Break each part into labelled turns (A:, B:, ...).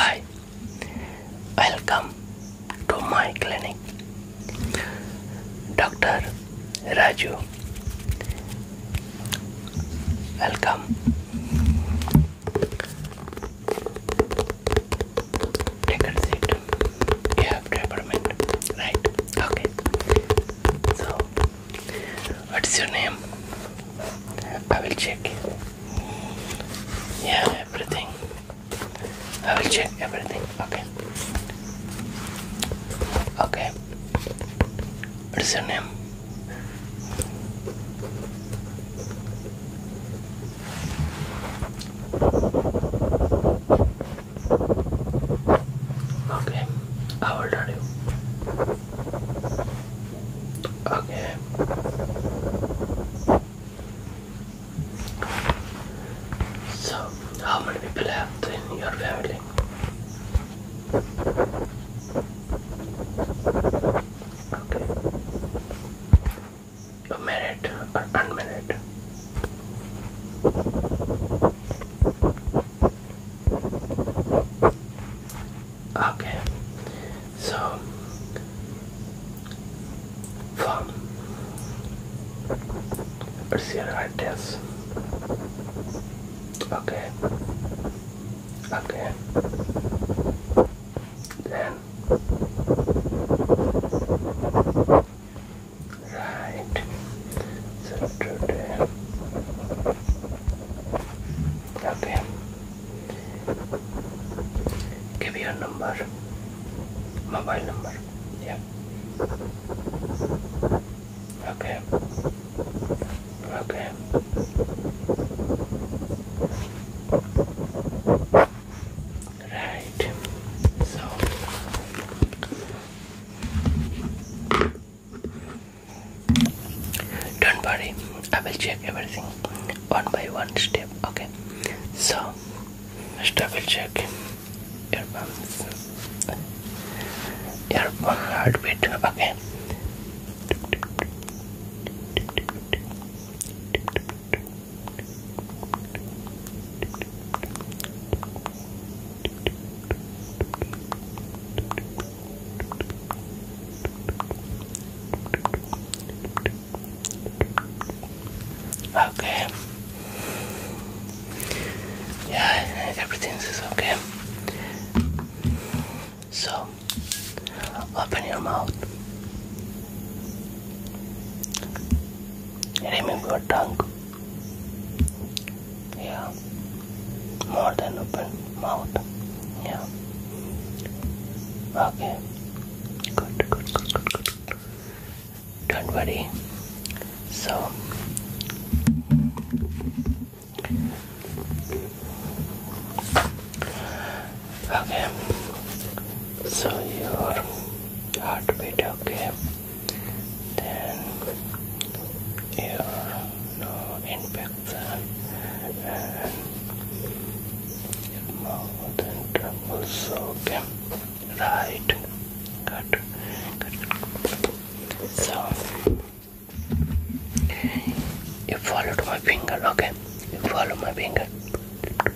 A: Hi, welcome to my clinic. Dr. Raju, welcome. Take a seat. You have peppermint, right? Okay. So, what is your name? I will check. Yeah, everything. I will check everything. Okay. Okay. What is your name? Okay. I will tell you? Okay. So, how many people have in your family? married or unmarried? Okay, so from it's your address. Okay, okay, then right. So Okay. Give a number. Mobile number. Yeah. Okay. Okay. Right. So don't worry, I will check everything one by one step. Okay, so first I will check your pulse, your heartbeat. Okay. Okay. Yeah, everything is okay. So, open your mouth. Remove your tongue yeah more than open mouth yeah okay good good good good don't worry so okay so your heartbeat okay then you no infection and more than trouble okay right good good, so you followed my finger okay you follow my finger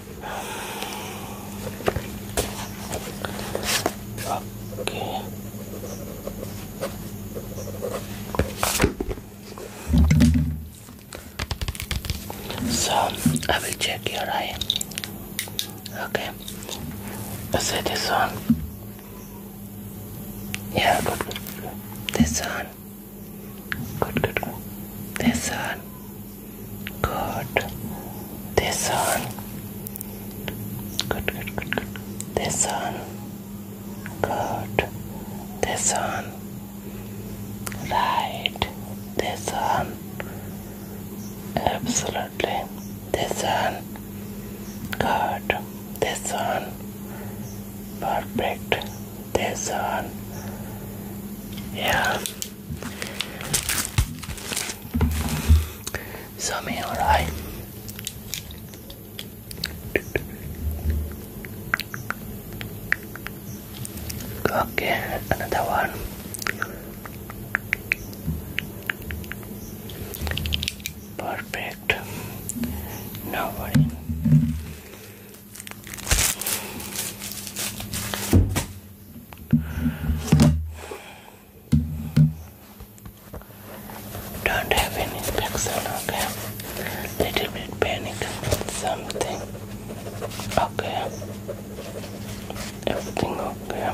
A: Okay. So I will check your eye. Okay. Let's say this one. Yeah, This one. Good, good. This one. Good. This one. Good, good, good, good. This one. Good. This one. Right. This one. Absolutely. This one. Good. This one. Perfect this one, Yeah. So me, alright. Okay, another one. Perfect. No worry. Don't have any infection, okay? Little bit panic, something. Okay. Everything okay.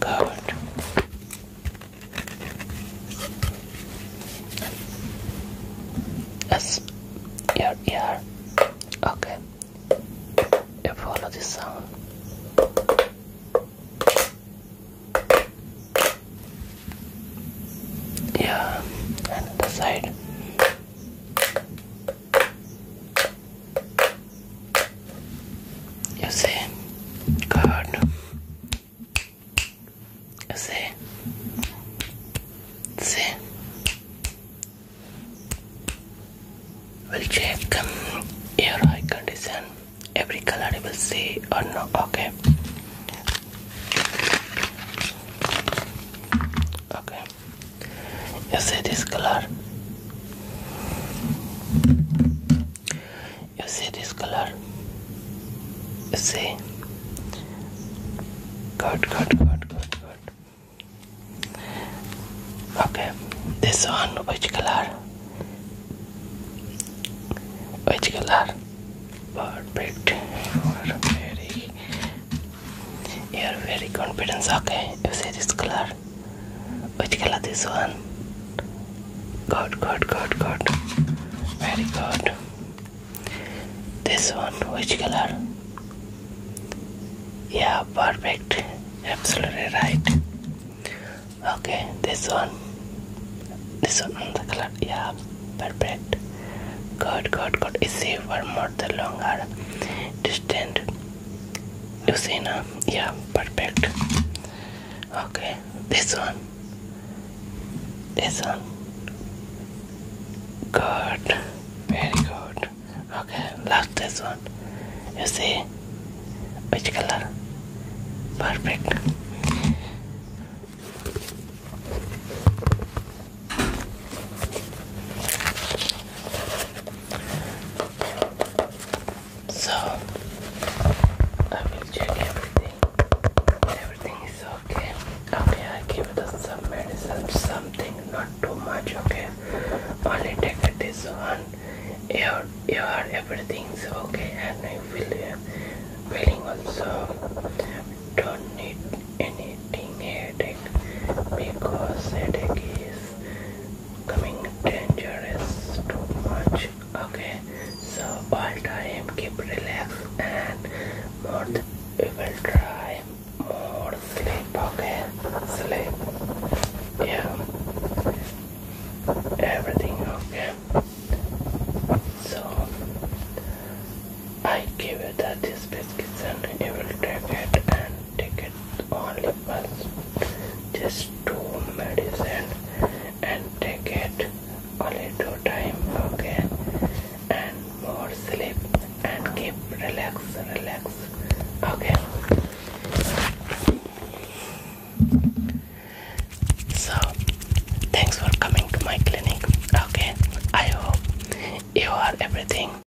A: Good. Yes, your ear. Okay, you follow the sound. Yeah, and the side. You see, God si see. Sí. We'll check your eye condition. Every color you will see or not? Okay. Okay. You see this color? you see this color you see good good good good good okay this one which color which color perfect you are very you are very confident okay you see this color which color this one? Good, good, good, good. Very good. This one, which color? Yeah, perfect. Absolutely right. Okay, this one. This one on the color. Yeah, perfect. Good, good, good. Is see more the longer distant. You see now? Yeah, perfect. Okay, this one. This one. Good. Very good. Okay, last this one. You see? Which color? Perfect. So I will check everything. Everything is okay. Okay, I give it some medicine, something, not too much, okay? Only take this one. Your your everything's okay and I will uh, feeling also don't need anything headache because headache is becoming dangerous too much okay so all time keep relaxed and more we will try or sleep okay sleep yeah everything okay so I give you that this biscuits and you will take it and Take ticket only once. Just two medicine and take it only two time, okay? And more sleep and keep relax, relax, okay? So, thanks for coming to my clinic. Okay, I hope you are everything